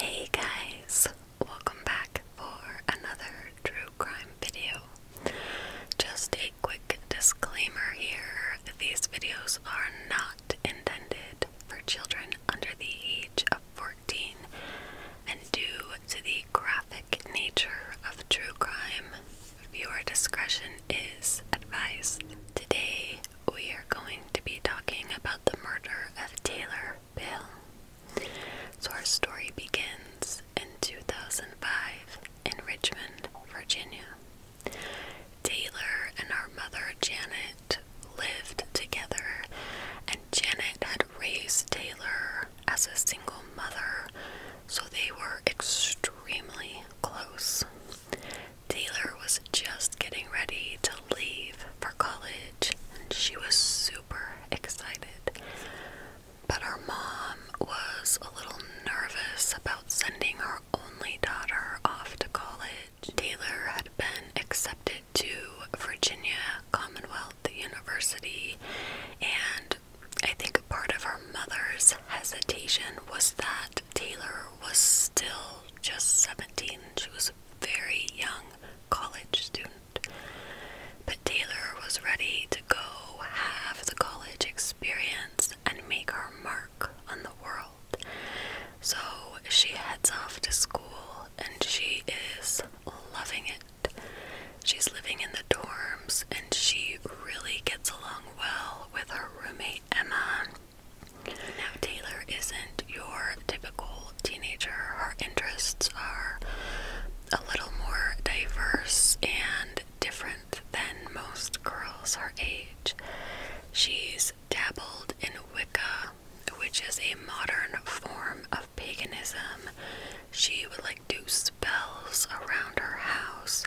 Hey guys, welcome back for another true crime video. Just a quick disclaimer here these videos are not intended for children under the age of 14, and due to the graphic nature of true crime, viewer discretion is advised. Today, we are going to be talking about the murder of Taylor Bill. So our story begins in 2005 in Richmond, Virginia. Taylor and our mother Janet lived together, and Janet had raised Taylor as a single mother, so they were extremely close. Taylor was just getting ready to leave for college and she was super excited. But her mom was a little nervous about sending her only daughter off to college. Taylor had been accepted to Virginia Commonwealth University, and I think part of her mother's hesitation was that Taylor was still just 17. She was very young college student. But Taylor was ready to go have the college experience and make her mark on the world. So she heads off to school and she is loving it. She's living in the dorms and she really gets along well with her roommate Emma. Now, Taylor isn't your typical teenager. Her interests are a little more diverse and different than most girls her age. She's dabbled in Wicca, which is a modern form of paganism. She would like do spells around her house,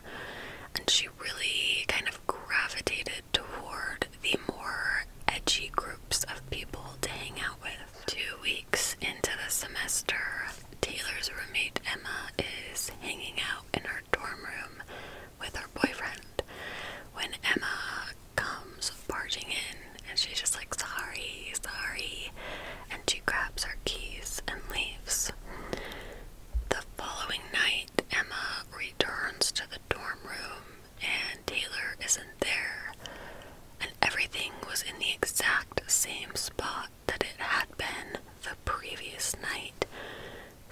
and she really kind of gravitated toward the more edgy groups of people to hang out with. Two weeks into the semester, Taylor's roommate Emma is hanging out in her dorm room with her boyfriend when Emma comes barging in and she's just like, sorry, sorry, and she grabs her keys and leaves. The following night, Emma returns to the dorm room and Taylor isn't there, and everything was in the exact same spot that it had been the previous night,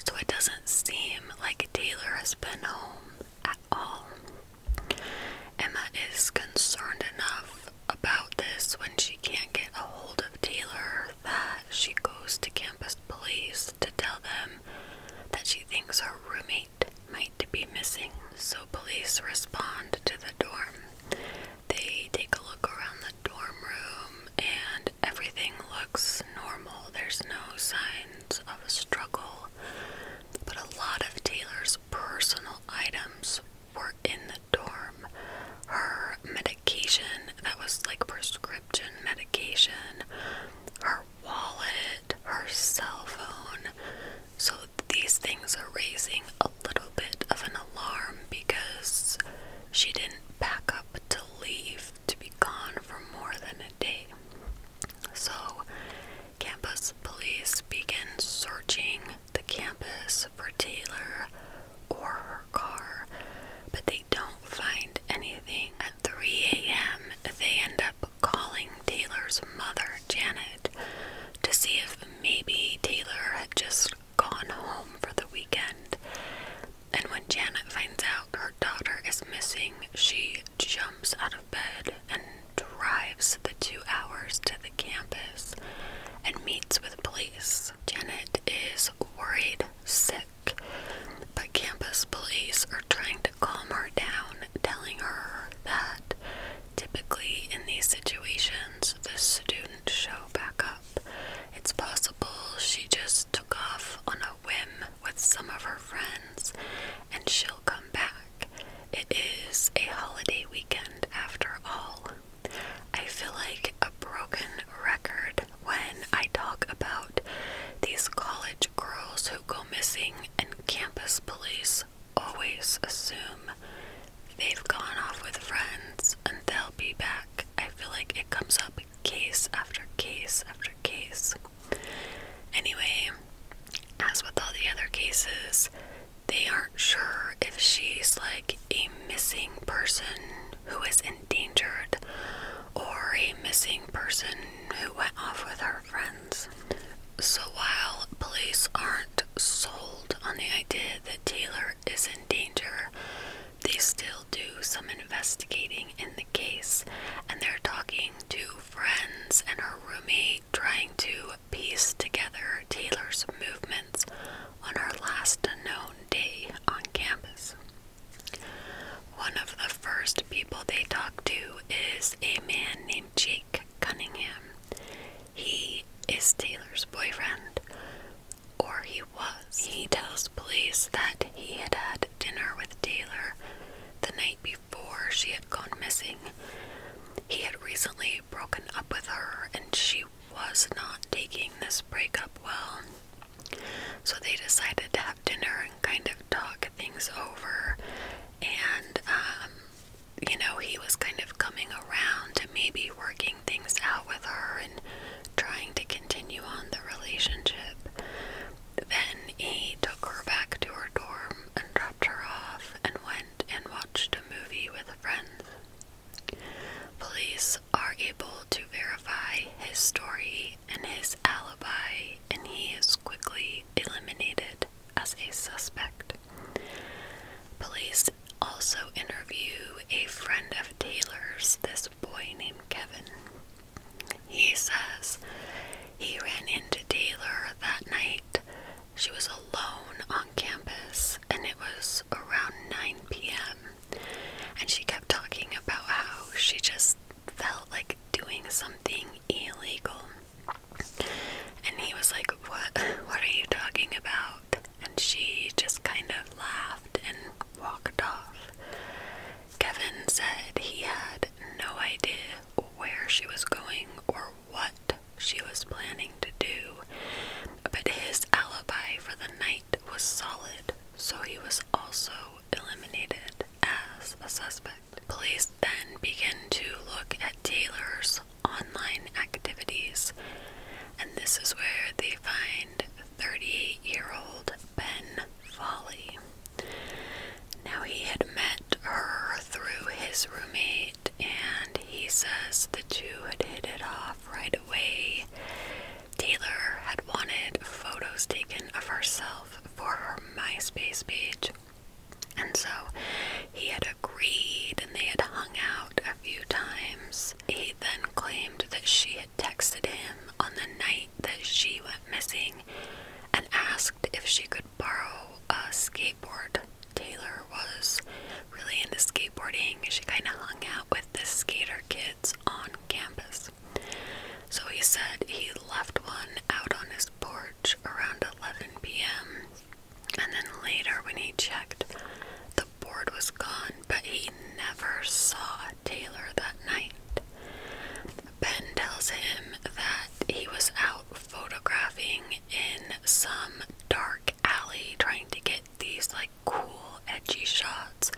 so it doesn't seem like Taylor has been home at all. Emma is concerned enough about this when she can't get a hold of Taylor that she goes to campus police to tell them that she thinks her roommate light might be missing, so police respond to the dorm. They take a look around the dorm room and everything looks normal. There's no signs of a struggle, but a lot of Taylor's personal items were in the dorm. Her medication, that was like prescription medication, her wallet, her cell phone. So these things are raising a little bit of an alarm because she didn't pack up to leave to be gone for more than a day. So campus police begin searching the campus for Taylor or her car, but they don't find anything. At 3 a.m., they end up calling Taylor's mother, Janet, to see if maybe Taylor had just gone home for the weekend. And when Janet finds out her daughter is missing, she jumps out of bed and drives the two hours to the campus and meets with police. Janet is worried, sick, but campus police are trying to calm her down, telling her that typically in these situations the student show back up. It's possible she just took off on a whim with some of her friends and she'll come back. It is a holiday weekend after all. I feel like a broken record when I talk about these college girls who go missing and campus police always assume they've gone off with friends and they'll be back. I feel like it comes up case after case after case. Anyway, as with all the other cases, they aren't sure if she's like a missing person who is endangered or a missing person who went off with her friends. So while police aren't sold on the idea that Taylor is in danger, they still do some investigating in the case and they're talking to friends and her roommate trying to piece together Taylor's movements on her last known day on campus. One of the first people they talk to is a man named Jake. Cunningham. He is Taylor's boyfriend, or he was. He tells police that he had had dinner with Taylor the night before she had gone missing. He had recently broken up with her, and she was not taking this breakup well. So they decided to have dinner and kind of talk things over. And um, you know, he was kind of coming around to maybe working things out with her and trying to continue on the relationship. Then he took her back to her dorm and dropped her off and went and watched a movie with friends. Police are able to verify his story and his alibi, and he is quickly eliminated as a suspect. Police also interview a friend of Taylor's, this boy named Kevin. He says he ran into Taylor that night. She was alone on campus and it was around 9 p.m. And she kept talking about how she just felt like doing something illegal. And he was like, What what are you talking about? And she just kind of laughed and walked off. Kevin said he had no idea where she was going or what she was planning to do, but his alibi for the night was solid, so he was also eliminated as a suspect. Police then begin to look at Taylor's online activities, and this is where they find 38 year old Ben Foley. Now, he had met her through his roommate, and he says the two had hit it off right away. Taylor had wanted photos taken of herself for her MySpace page, and so he had agreed and they had hung out a few times. He then claimed that she had texted him on the night that she went missing and asked if she could borrow a skateboard. Taylor was really into skateboarding. She kind of hung out with the skater kids on campus. So he said he left one out on his porch around 11 p.m. And then later, when he checked, the board was gone, but he never saw Taylor that night. Ben tells him that he was out photographing in some dark alley trying to get these like cool, edgy shots,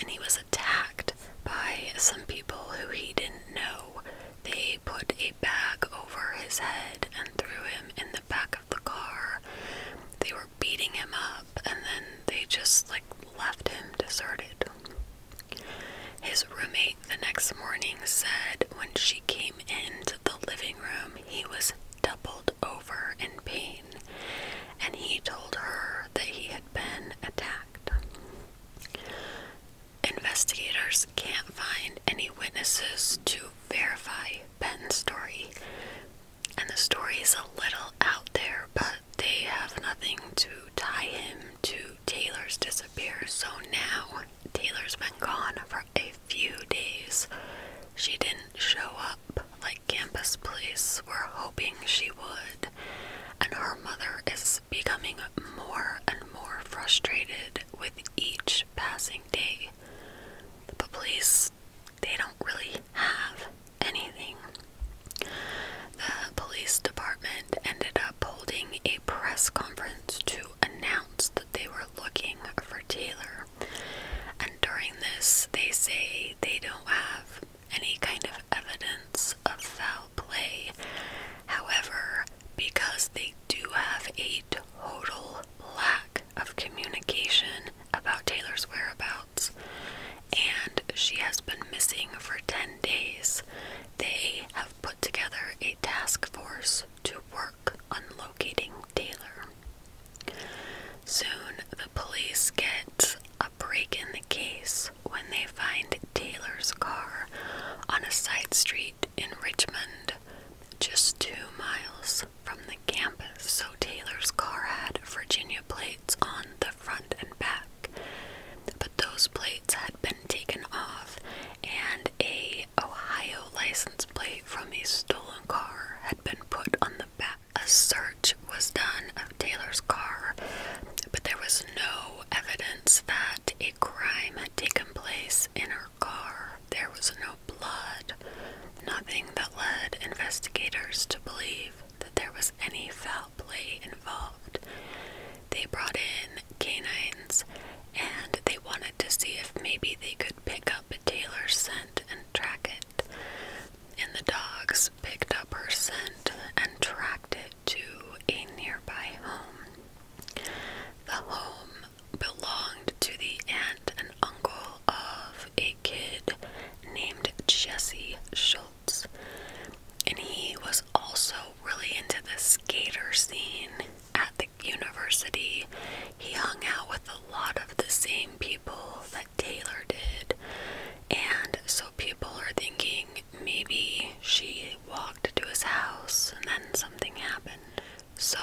and he was attacked by some people who he didn't know they put a bag over his head and threw him in the back of the car. They were beating him up and then they just like left him deserted. His roommate the next morning said when she came into the living room, he was doubled over in pain and he told her that he had been attacked. Investigators can't find any witnesses to verify Benton's story. And the story is a little out there, but they have nothing to tie him to Taylor's disappearance. So now Taylor's been gone for a few days. She didn't show up like Campus Police were hoping she would. And her mother is becoming more and more frustrated with each passing day. The police, they don't really have anything. The police department ended up holding a press conference to announce that they were looking for Taylor. And during this, they say they don't have any kind of evidence of foul play. However, because they do have a total lack of communication about Taylor's whereabouts, and she has been missing for 10 days. They have put together a task force to work on locating Taylor. Soon, the police get a break in the case when they find Taylor's car on a side street in Richmond, just two miles from the campus. So Taylor's car had Virginia plates on the front and back, but those plates had been taken off, and a Ohio license plate from a stolen car had been put on the back. A search was done of Taylor's car, but there was no evidence that a crime had taken place in her car. There was no blood, nothing that led investigators to believe that there was any foul play involved. They brought in canines and they wanted to see if maybe they could pick up Taylor's scent and track it. And the dogs picked up her scent and tracked it to a nearby home. The home belonged to the aunt and uncle of a kid named Jesse Schultz, and he was also really into the skater scene at the university. He hung out with a lot of the same people that Taylor did, and so people are thinking maybe she walked to his house, and then something happened. So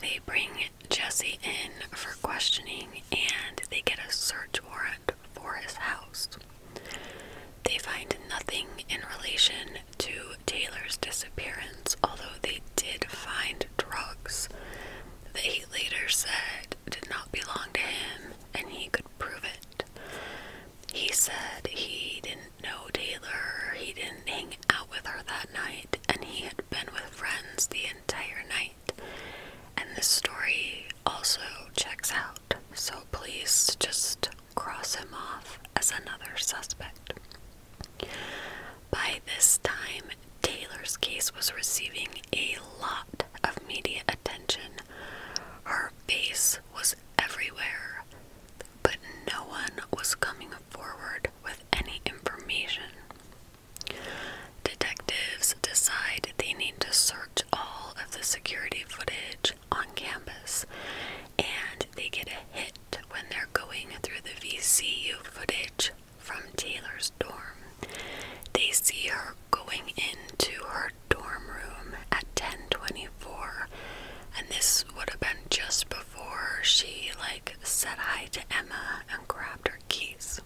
they bring Jesse in for questioning, and they get a search warrant for his house. They find nothing in relation to Taylor's disappearance, although they did find drugs that he later said did not belong to him and he could prove it. He said he didn't no, Taylor, he didn't hang out with her that night, and he had been with friends the entire night. And this story also checks out, so please just cross him off as another suspect. By this time, Taylor's case was receiving a lot of media attention. Her face was everywhere but no one was coming forward with any information. Detectives decide they need to search all of the security footage on campus, and they get a hit when they're going through the VCU footage from Taylor's dorm. They see her going into her dorm room at 10:20 24. And this would have been just before she like said hi to Emma and grabbed her keys.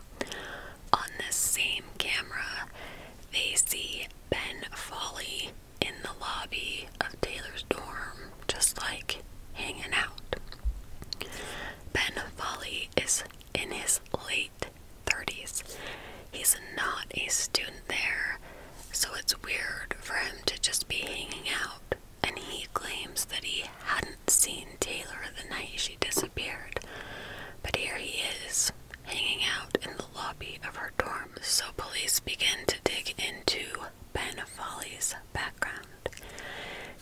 On the same camera, they see Ben Folly in the lobby of Taylor's dorm, just like hanging out. Ben Folly is in his late 30s. He's not a student there so it's weird for him to just be hanging out. And he claims that he hadn't seen Taylor the night she disappeared, but here he is, hanging out in the lobby of her dorm. So police begin to dig into Ben Folly's background.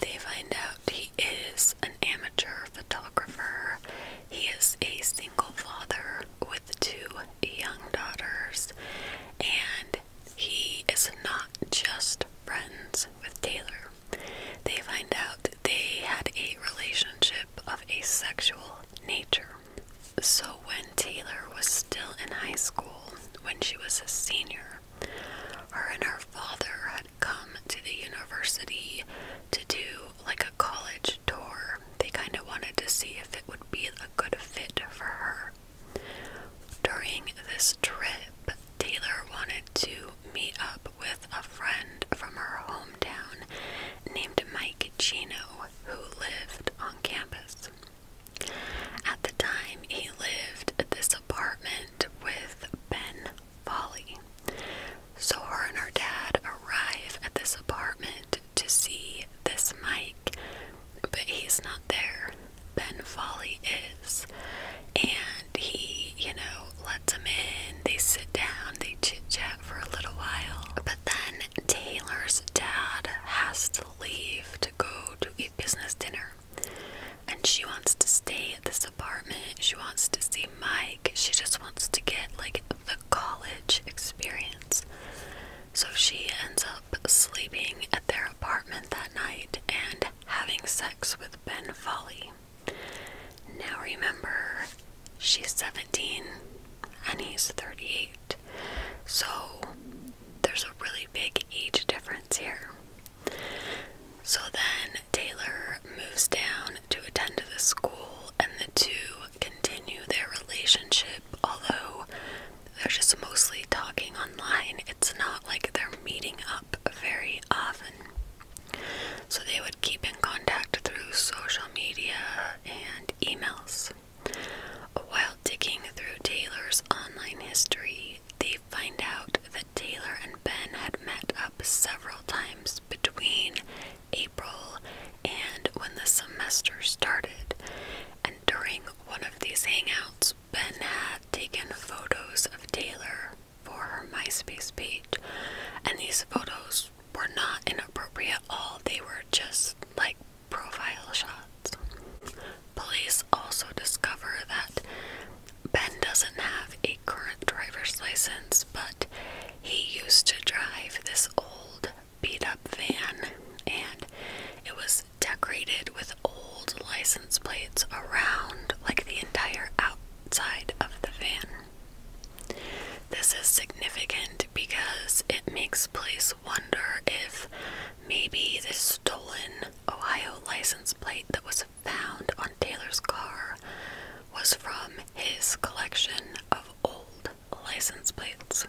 They find out he is an amateur photographer, he is a single father with two young daughters, and he is not just friends with Taylor. They find out they had a relationship of a sexual nature. So, when Taylor was still in high school, when she was a senior, her and her father had come to the university to do like a college tour. They kind of wanted to see if it would be a good fit for her. During this trip, Taylor wanted to meet up with a friend from her hometown named Mike Chino, who lived on campus. At the time, he lived at this apartment with Ben Foley. So her and her dad arrive at this apartment to see this Mike, but he's not there. Ben Foley is. And he, you know, lets them in, they sit down, they chit chat for a little while. But then Taylor's dad has to leave to go to a business dinner. And she wants to stay at this apartment. She wants to see Mike. She just wants to get like the college experience. So she ends up sleeping at their apartment that night and having sex with Ben Foley. Now remember, she's 17 and he's 38, so there's a really big age difference here. So then Taylor moves down to attend the school, and the two continue their relationship although they're just mostly talking online. It's not like they're meeting up very often. So they would keep in contact through social media and emails. While digging through Taylor's online history, they find out that Taylor and Ben had met up several times between April and when the semester started. And during one of these hangouts, Ben had taken photos of Taylor for her MySpace page, and these photos were not inappropriate at all, they were just like profile shots. Police also discover that Ben doesn't have a current driver's license, but he used to drive this old beat up van and it was decorated with old license plates around like the entire outside of the van. This is significant because it makes Place wonder if maybe this stolen Ohio license plate that was found on Taylor's car was from his collection of old license plates.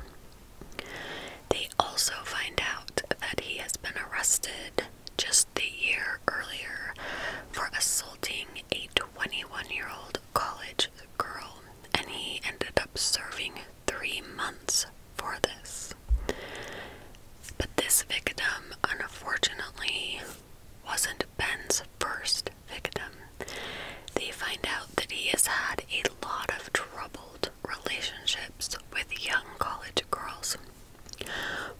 They also find out that he has been arrested just the year earlier for assaulting a 21 year old college girl, and he ended up serving three months for this. But this victim, unfortunately, wasn't Ben's first victim. They find out that he has had a lot of trouble relationships with young college girls.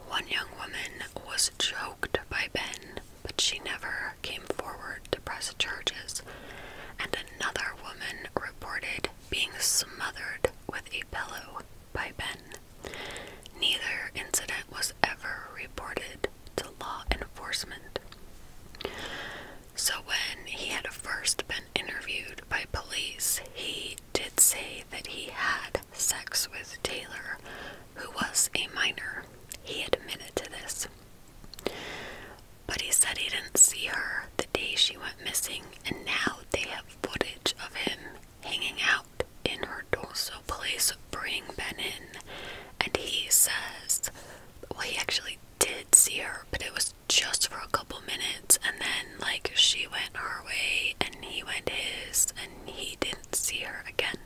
One young woman was choked by Ben, but she never came forward to press charges, and another woman reported being smothered with a pillow by Ben. Neither incident was ever reported to law enforcement. So, when he had first been interviewed by police, he did say that he had sex with Taylor, who was a minor. He admitted to this. But he said he didn't see her the day she went missing, and now they have footage of him hanging out in her door. place, bringing Ben in, and he says, well, he actually did see her, but it was just for a couple minutes, and then like she went her way and he went his, and he didn't see her again.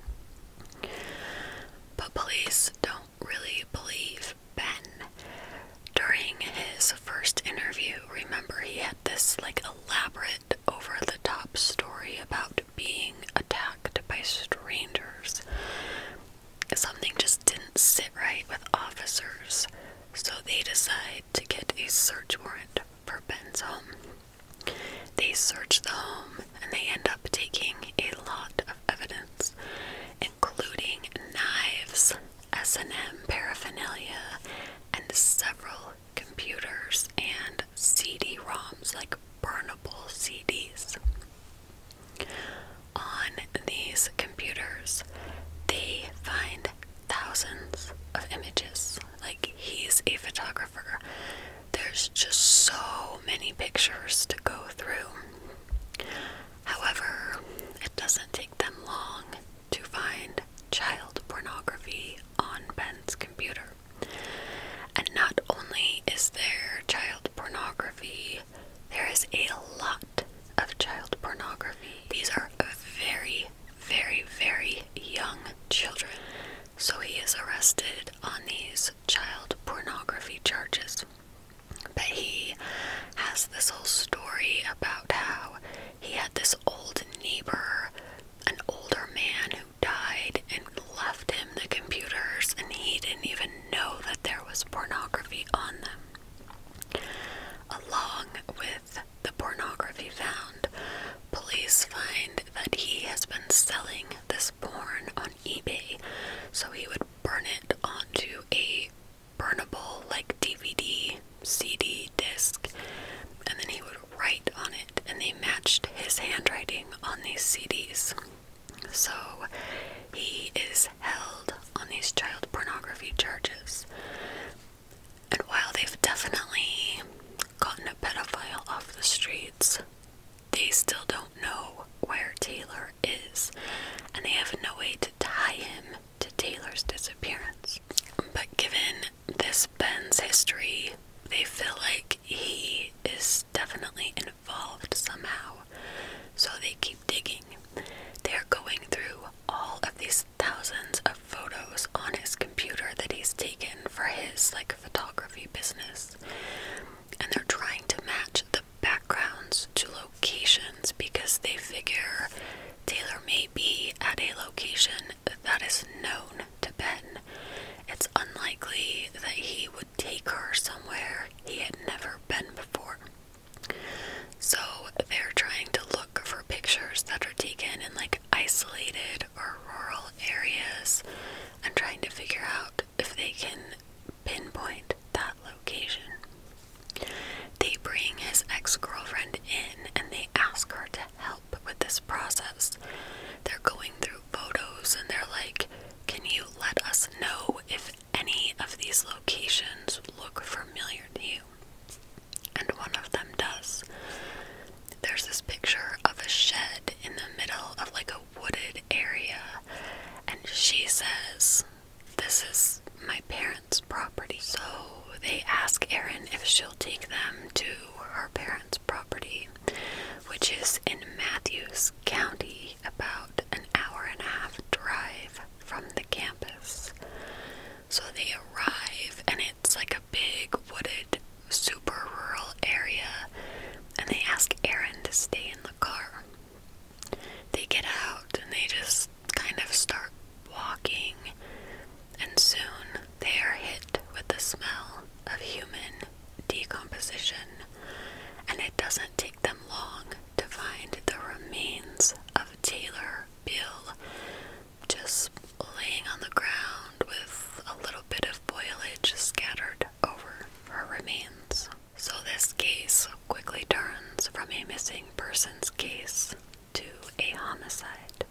But police don't really believe Ben. During his first interview, remember he had this like elaborate, over the top story about being attacked by strangers. Something just didn't sit right with officers. So they decide to get a search warrant for Ben's home. They search the home and they end up taking a lot of evidence, including knives, S&M paraphernalia, and several computers and CD-ROMs, like burnable CDs. On these computers, they find thousands of images. Like, he's a photographer. There's just so many pictures to go through. However, it doesn't take them long to find child pornography on Ben's computer. And not only is there child pornography, there is a lot of child pornography. These are very, very, very young children. So he is arrested on these child pornography charges. But he has this whole story about how he had this old neighbor, an older man who died and left him the computers, and he didn't even know that there was pornography on them. Along with the pornography found, police find that he has been selling this porn on eBay, so he would burn it onto a burnable like DVD, CD disc, and then he would write on it, and they matched his handwriting on these CDs. So he is held on these child pornography charges. And while they've definitely gotten a pedophile off the streets, they still don't know where Taylor is, and they have no way to tie him to Taylor's disappearance. But given this Ben's history, they feel like he is definitely involved somehow. So they keep digging. They're going through all of these thousands of photos on his computer that he's taken for his like photography business. And they're trying to match the backgrounds to locations because they figure Taylor may be at a location that is known to Ben. It's unlikely that he would take her somewhere he had never been before. So they're trying to look for pictures that are taken in like isolated or rural areas and trying to figure out if they can pinpoint that location. They bring his ex girlfriend in and they ask her to help with this process. They're going through photos and they're like, Can you let us know if any of these locations look familiar to you? And one of them does. There's this picture of a shed in the middle of like a wooded area, and she says, This is my parents' property. So they ask Erin if she'll take them to her parents' property, which is in Matthews County, about an hour and a half drive from the campus. So they arrive, and it's like a big wooded, super rural area, and they ask Aaron to stay in the car. They get out and they just kind of start walking, and soon they are hit with the smell of human decomposition, and it doesn't take them long to find the remains of Taylor Bill just laying on the ground with a little bit of boilage scattered over her remains. So, this case quickly turns from a missing persons case to a homicide.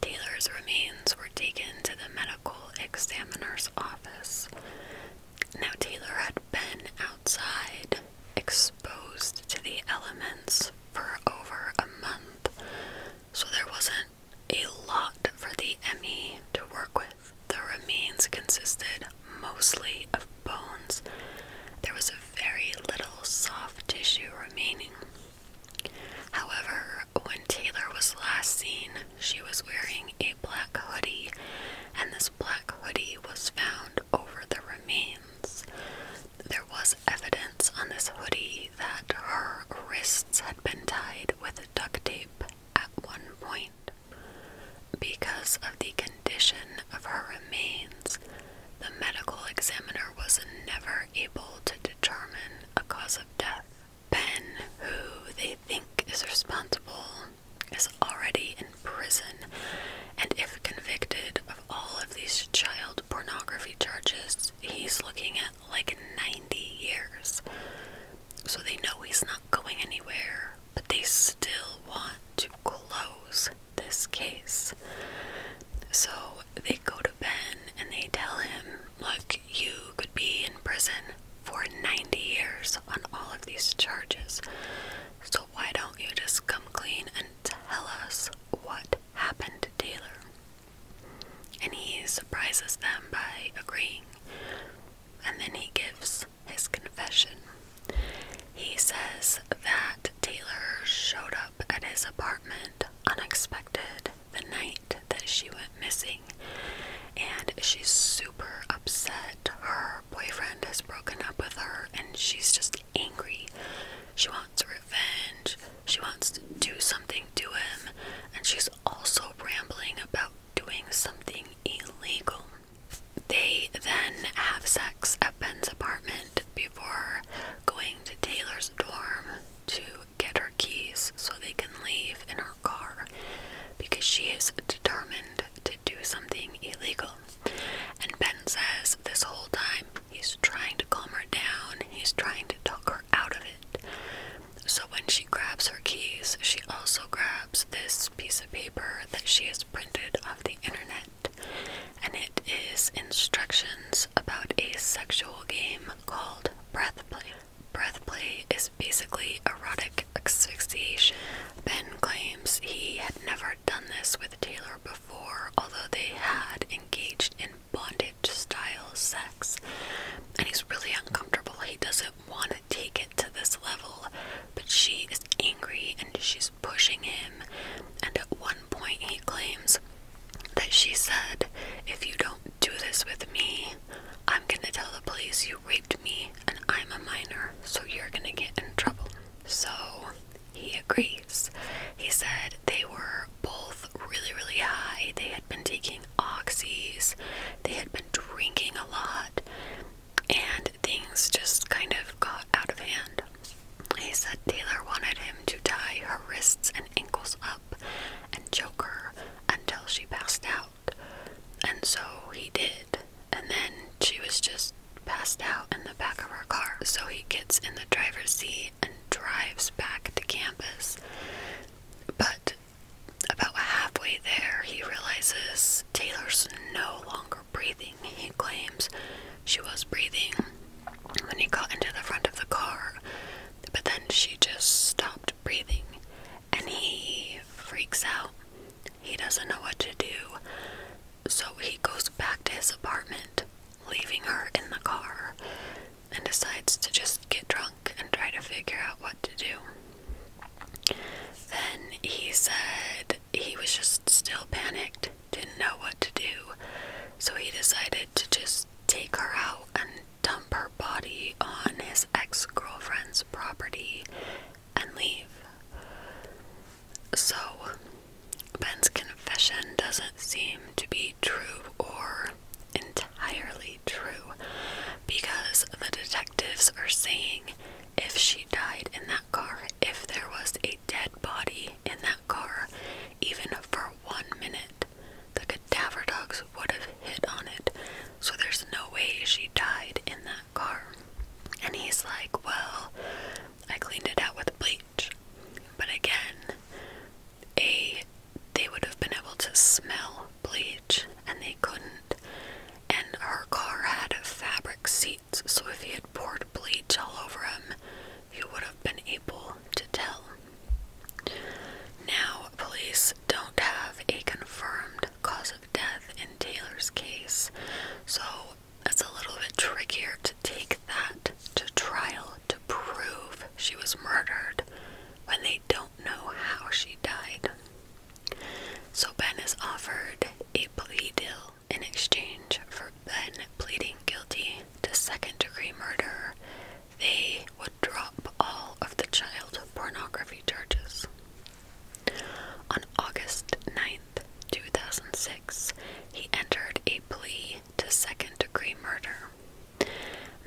Taylor's remains were taken to the medical examiner's office. Now, Taylor had been outside exposed to the elements for over a month, so there wasn't a lot for the ME to work with. The remains consisted mostly of bones. There was a very little soft tissue remaining. However, when Taylor was last seen, she was wearing a black hoodie, and this black hoodie was found over the remains. There was evidence on this hoodie that her wrists had been tied with duct tape at one point. Because of the condition of her remains, the medical examiner was never able to determine a cause of death. Ben, who they think is responsible, is already in prison, and if convicted of all of these child pornography charges, he's looking at like 90 years. So they know he's not going anywhere, but they still want to close this case. So they go to Ben and they tell him, Look, you could be in prison for 90 years on all of these charges. So why don't you just come clean and Tell us what happened to Taylor. And he surprises them by agreeing. And then he gives his confession. He says that Taylor showed up at his apartment unexpected the night that she went missing. And she's super upset. Her boyfriend has broken up with her and she's just angry. She wants revenge. She wants to do something to him. And she's also rambling about doing something illegal. They then have sex at Ben's apartment before going to Taylor's dorm to get her keys so they can leave in her car because she is determined to do something illegal. And Ben says this whole time he's trying to calm her down, he's trying to talk her out of it. So when she grabs her keys, she also grabs this piece of paper that she has printed off the internet. And it is instructions about a sexual game called breath play. Breath play is basically erotic asphyxiation. Ben claims he had never done this with Taylor before for although they had engaged in bondage style sex. And he's really uncomfortable. He doesn't want to take it to this level, but she is angry and she's pushing him. And at one point, he claims that she said, If you don't do this with me, I'm gonna tell the police you raped me and I'm a minor, so you're gonna get in trouble. So he agrees. He said they were both really, really high. They had been taking oxys, they had been drinking a lot, and things just kind of got out of hand. He said Taylor wanted him to tie her wrists and ankles up and choke her until she passed out. And so he did. And then she was just passed out in the back of her car. So he gets in the driver's seat and drives back to campus. But about halfway there, he realizes Taylor's no longer breathing. He claims she was breathing when he got into the front of the car, but then she just stopped breathing and he freaks out. He doesn't know what to do, so he goes back to his apartment leaving her in the car and decides to just get drunk and try to figure out what to do. Then he said he was just still panicked, didn't know what to do, so he decided to just take her out and dump her body on his ex girlfriend's property and leave. So, Ben's confession doesn't seem to be true or entirely true because the detectives are saying if she died in that car, if there was a dead body in that car, even for one minute, the cadaver dogs would have hit on it. So there's no way she died in that car. And he's like, Well, I cleaned it out with bleach but again, a they would have been able to smell bleach and they couldn't. And her car had fabric seats, so if he had poured bleach all over him, you would have been able to tell. Now, police don't have a confirmed cause of death in Taylor's case, so it's a little bit trickier to take that to trial to prove she was murdered when they don't know how she died. So Ben is offered a plea deal in exchange for Ben pleading guilty to second degree murder. They would drop all of the child pornography charges. On August 9th, 2006, he entered a plea to second degree murder.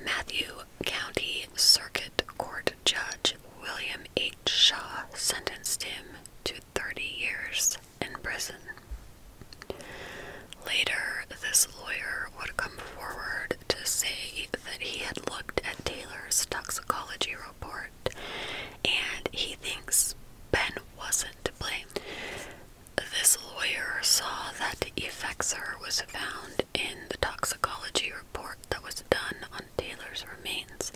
Matthew County Circuit Court Judge William H. Shaw sentenced him to 30 years in prison. Later, this lawyer would come forward to say that he had looked at Taylor's toxicology report and he thinks Ben wasn't to blame. This lawyer saw that effexor was found in the toxicology report that was done on Taylor's remains.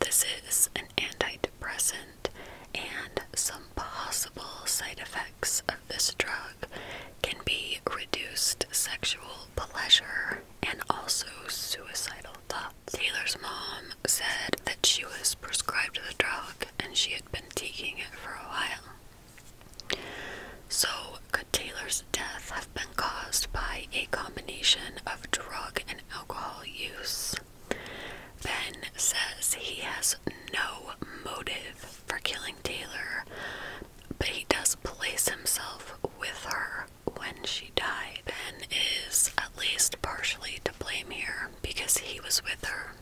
This is an antidepressant, and some possible side effects of this drug can be reduced sexual pleasure and also suicidal thoughts. Taylor's mom said that she was prescribed the drug and she had been taking it for a while. So, could Taylor's death have been caused by a combination of drug and alcohol use? Ben says he has no motive for killing Taylor, but he does place himself with her when she died. and is at least partially to blame here because he was with her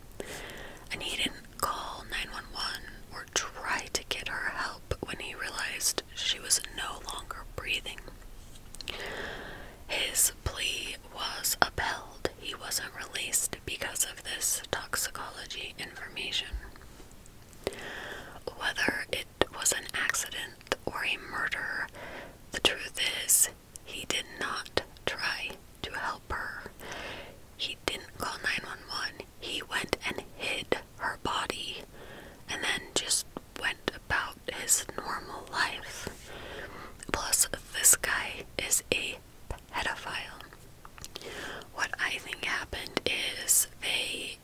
and he didn't call 911 or try to get her help when he realized she was no longer breathing. His plea was upheld. He wasn't released because of this toxicology information. Whether it was an accident or a murder, the truth is he did not try to help her. He didn't call 911. He went and hid her body and then just went about his normal life. Plus, this guy is a pedophile. What I think happened is they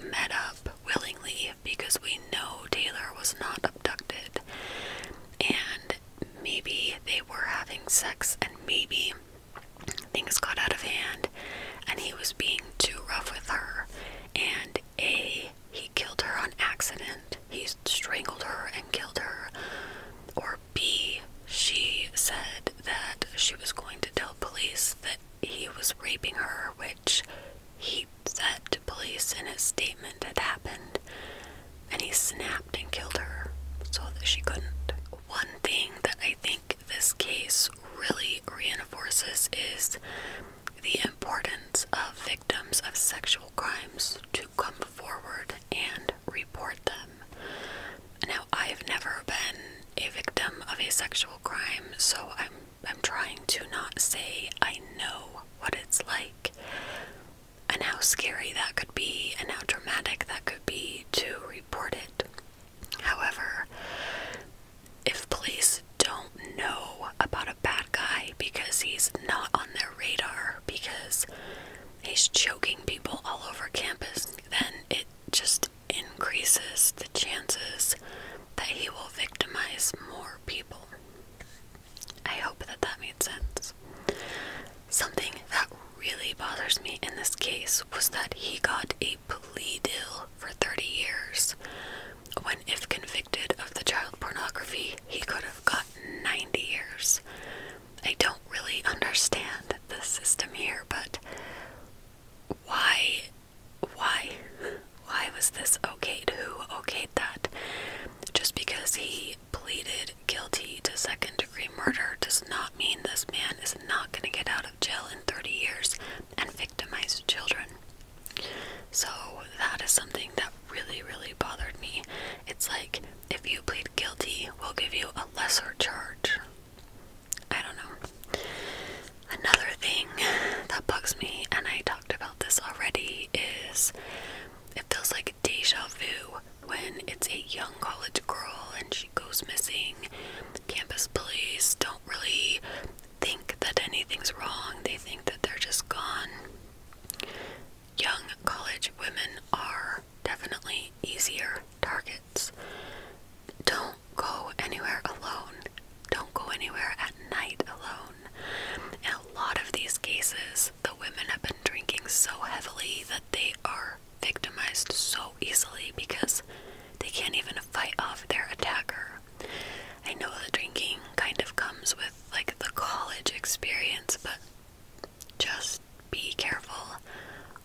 met up willingly because we know Taylor was not abducted and maybe they were having sex and maybe things got out of hand and he was being too rough with her and a he killed her on accident he strangled her and killed her or b she said that she was going to tell police that he was raping her which he said to police in his statement had happened and he snapped and killed her so that she couldn't. One thing that I think this case really reinforces is the importance of victims of sexual crimes to come forward and report them. Now, I've never been a victim of a sexual crime, so I'm I'm trying to not say I know what it's like, and how scary that could be and how dramatic that could be to report it. However, if police don't know about a bad guy because he's not on their radar, because he's choking people all over campus, then it just increases the chances that he will victimize more people. I hope that that made sense. Something that really bothers me in this case was that he got a plea deal for 30 years, when if convicted of the child pornography, he could have got 90 years. I don't really understand the system here, but why, why, why was this okayed? Who okayed that? Just because he pleaded guilty to second degree murder does not mean this man is not going to get out of jail in 30 years and victimize children. So that is something that really, really bothered me. It's like, if you plead guilty, we'll give you a lesser charge. I don't know. Another thing that bugs me, and I talked about this already, is it feels like deja vu when it's a young college girl and she goes missing, campus police don't really think that anything's wrong. They think that they're just gone. Young college women are definitely easier targets. Don't go anywhere alone. Don't go anywhere at night alone. In a lot of these cases, the women have been drinking so heavily that they are victimized so easily because they can't even fight off their attacker. I know the drinking kind of comes with like the college experience, but just be careful.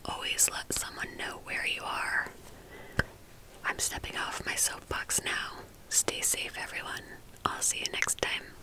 Always let someone know where you are. I'm stepping off my soapbox now. Stay safe, everyone. I'll see you next time.